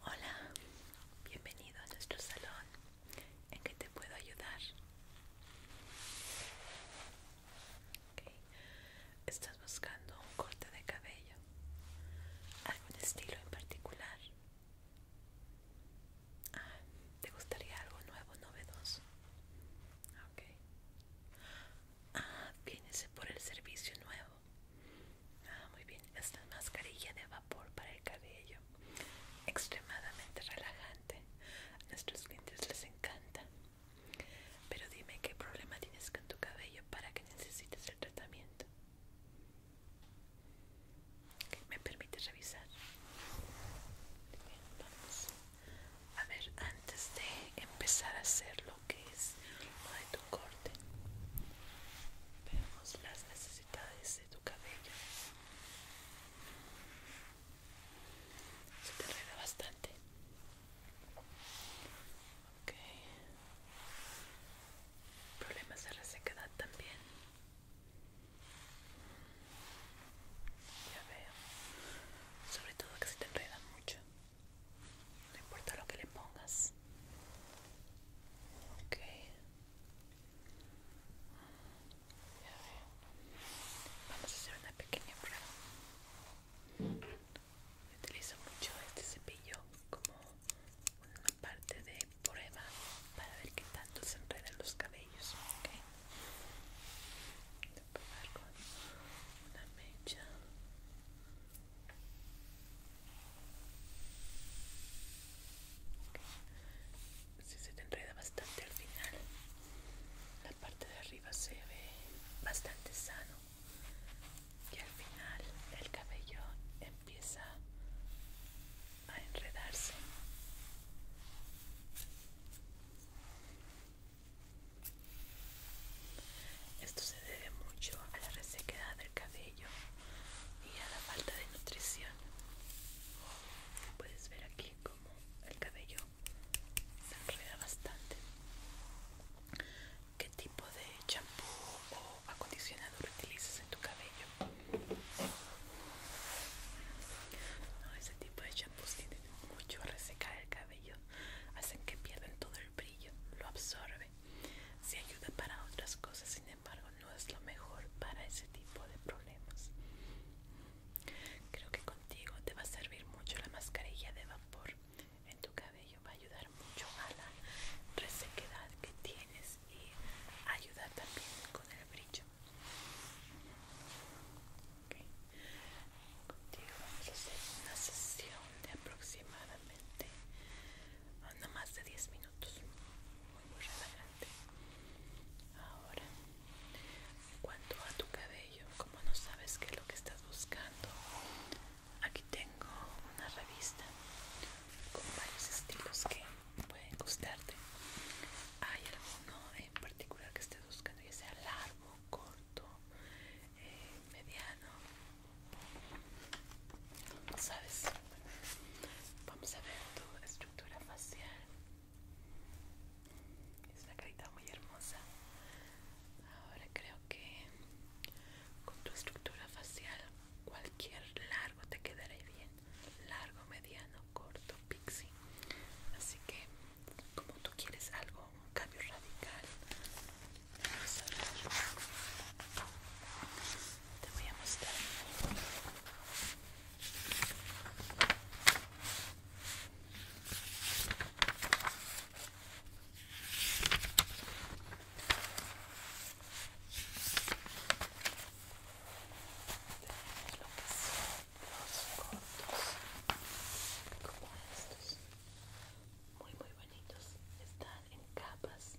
Hola, bienvenido a nuestro salón. ¿En qué te puedo ayudar? ¿Estás buscando un corte de cabello? ¿Algún estilo en particular? Ah, ¿Te gustaría algo nuevo, novedoso? Ok. Ah, vienes por el servicio nuevo. Ah, muy bien. Esta mascarilla de vapor para el cabello. Extremadamente relajante. A nuestros clientes les encanta. Pero dime qué problema tienes con tu cabello para que necesites el tratamiento. ¿Me permites revisar? vamos. A ver, antes de empezar a hacerlo, que es de tu corte vemos las necesidades de tu cabello se te enreda bastante problemas de resequedad también ya veo sobre todo que se te enreda mucho no importa lo que le pongas Ok. Vamos a hacer una pequeña prueba. Utilizo mucho este cepillo como una parte de prueba para ver qué tanto se enredan los cabellos. Ok. Voy a probar con una mecha. Si se te enreda bastante al final, la parte de arriba se ve bastante sano y al final el cabello empieza a enredarse. Esto se debe mucho a la resequedad del cabello y a la falta de nutrición puedes ver aquí como el cabello se enreda bastante qué tipo de champú o acondicionador utilizas en tu cabello no, ese tipo de champús tienen mucho a resecar el cabello hacen que pierdan todo el brillo lo absorben si ayuda para otras cosas, sin embargo, no es lo mejor para ese tipo de problemas. Creo que contigo te va a servir mucho la mascarilla de vapor en tu cabello. Va a ayudar mucho a la resequedad que tienes y ayudar también con el brillo. Contigo vamos a hacer una sesión de aproximadamente anda más de 10 minutos muy, muy relajante ahora en cuanto a tu cabello como no sabes qué es lo que estás buscando aquí tengo una revista con varios estilos que pueden gustarte hay alguno en particular que estés buscando ya sea largo corto eh, mediano ¿Sabes? Vamos a ver tu estructura facial. Es una carita muy hermosa. Ahora creo que con tu estructura facial cualquier largo te quedará bien. Largo, mediano, corto, pixie. Así que como tú quieres algo, un cambio radical, Vamos a Te voy a mostrar. Tenemos lo que son los cortos como estos muy muy bonitos están en capas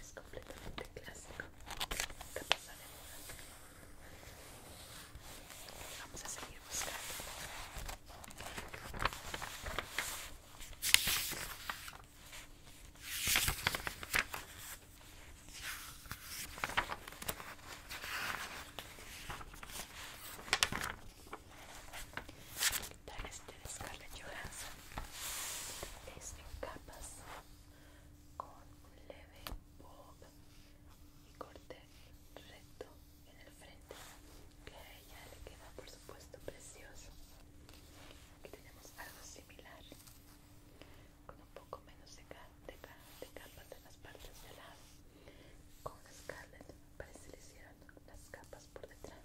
es completamente clásico que pasa de vamos a seguir buscando este de Scarlett Johansson es este, en capas con un leve bob y corte recto en el frente que a ella le queda por supuesto precioso aquí tenemos algo similar con un poco menos de, capas en las partes de lado con Scarlett parece que le hicieron las capas por detrás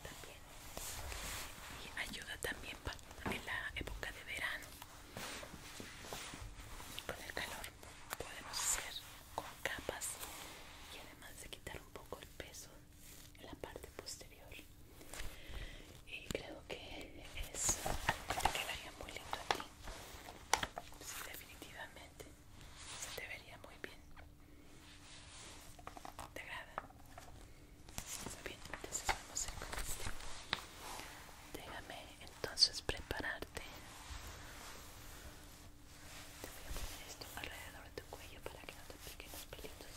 también y ayuda también en la época de verano con el calor podemos hacer con capas y además de quitar un poco el peso en la parte posterior y creo que eso quedaría muy lindo aquí, definitivamente se te vería muy bien. ¿Te agrada? Muy bien, entonces vamos a ir con este. Déjame entonces prepararte. Te voy a poner esto alrededor de tu cuello para que no te piquen los pelitos.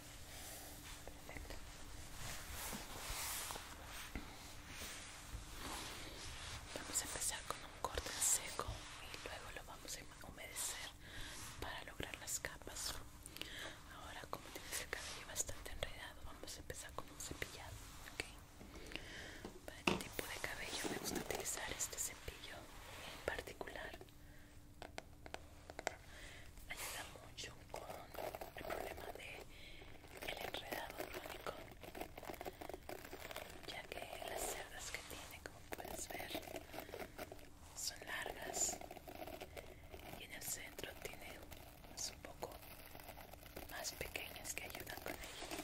Vamos a empezar con un corte en seco y luego lo vamos a humedecer para lograr las capas. Ahora, como tienes el cabello bastante enredado, vamos a empezar con un cepillado. Para qué tipo de cabello me gusta utilizar este cepillo en particular ayuda mucho con el problema de el enredado crónico ya que las cerdas que tiene como puedes ver son largas y en el centro tiene unas un poco más pequeñas que ayudan con ello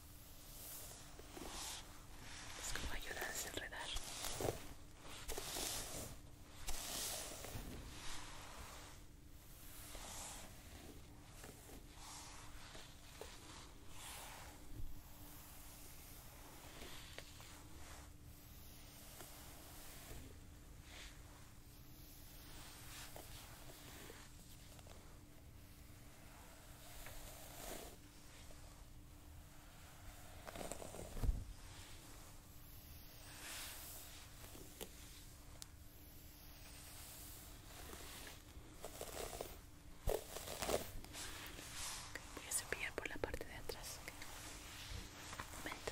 Es como ayuda a desenredar voy a cepillar por la parte de atrás Un momento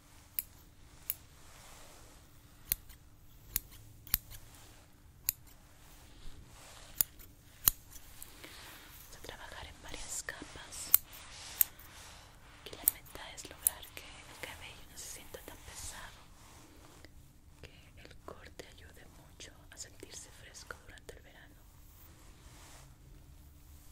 Vamos a trabajar en varias capas. Y la meta es lograr que el cabello no se sienta tan pesado, que el corte ayude mucho a sentirse fresco durante el verano.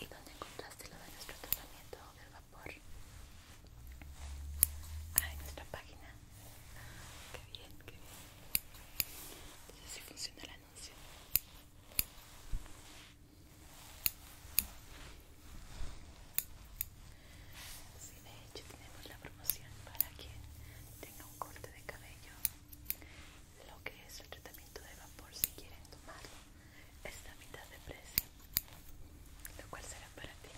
¿Y dónde encontraste lo de nuestro tratamiento del vapor? Ah, en nuestra página. Qué bien, qué bien. Entonces sí funciona el anuncio. si de hecho tenemos la promoción para quien tenga un corte de cabello lo que es el tratamiento de vapor si quieren tomarlo esta mitad de precio lo cual será para ti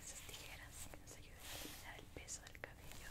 esas tijeras que nos ayudan a eliminar el peso del cabello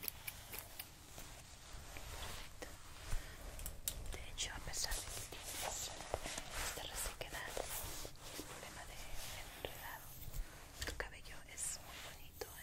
Perfecto. De hecho, a pesar de que esta el problema de enredado, tu cabello es muy bonito, ¿eh?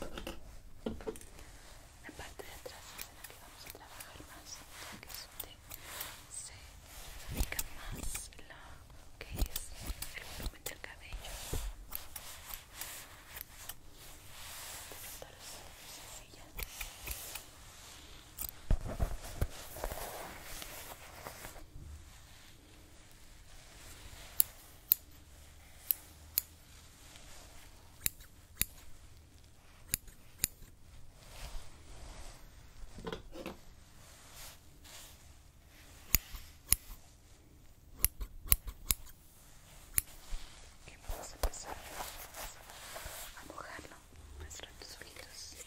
La parte de atrás es en la que vamos a trabajar más, que es donde se fabrica más lo que es el volumen del cabello. Sencilla. Qué vamos a empezar a mojarlo nuestros ojitos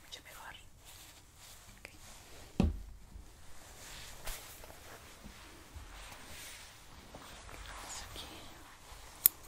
Muito melhor. Okay. Isso aqui.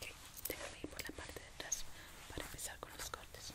Okay, déjame por la parte de atrás para empezar con los cortes.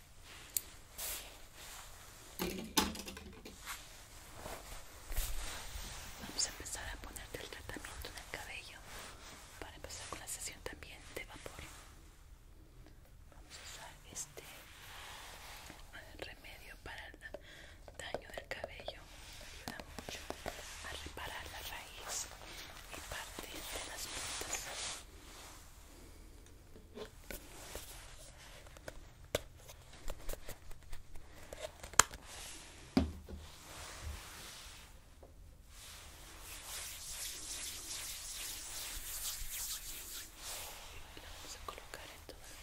Vamos a empezar a ponerte el tratamiento en el cabello para empezar con la sesión también de vapor. Vamos a usar este remedio para el daño del cabello. Ayuda mucho a reparar la raíz y parte de las puntas. La vamos a colocar en todo el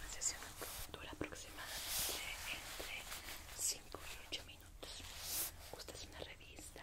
La sesión dura aproximadamente entre 5 y 8 minutos. ¿Gustas una revista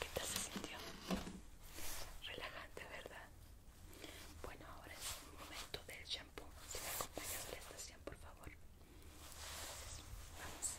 ¿Qué tal se sintió? Relajante, ¿verdad? Bueno, ahora es el momento del shampoo. Si me acompañas a la estación, por favor. Gracias, vamos.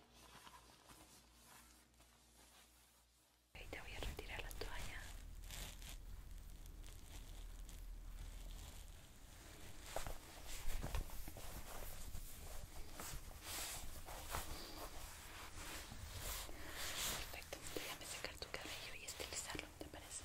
te voy a retirar la toalla. Perfecto, a secar tu cabello y estilizarlo, ¿te parece?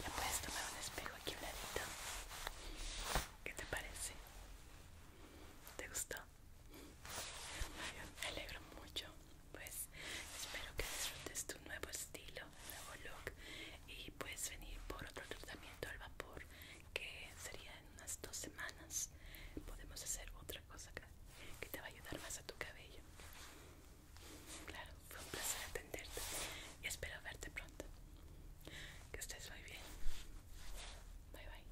Ya puedes tomar un espejo aquí un ladito. ¿Qué te parece? ¿Te gustó? Me alegro mucho. Pues espero que disfrutes tu nuevo estilo, nuevo look y puedes venir por otro tratamiento al vapor que sería en unas dos semanas. Podemos hacer otra cosa que te va a ayudar más a tu cabello. Claro, fue un placer atenderte y espero verte pronto. Que estés muy bien. Bye bye.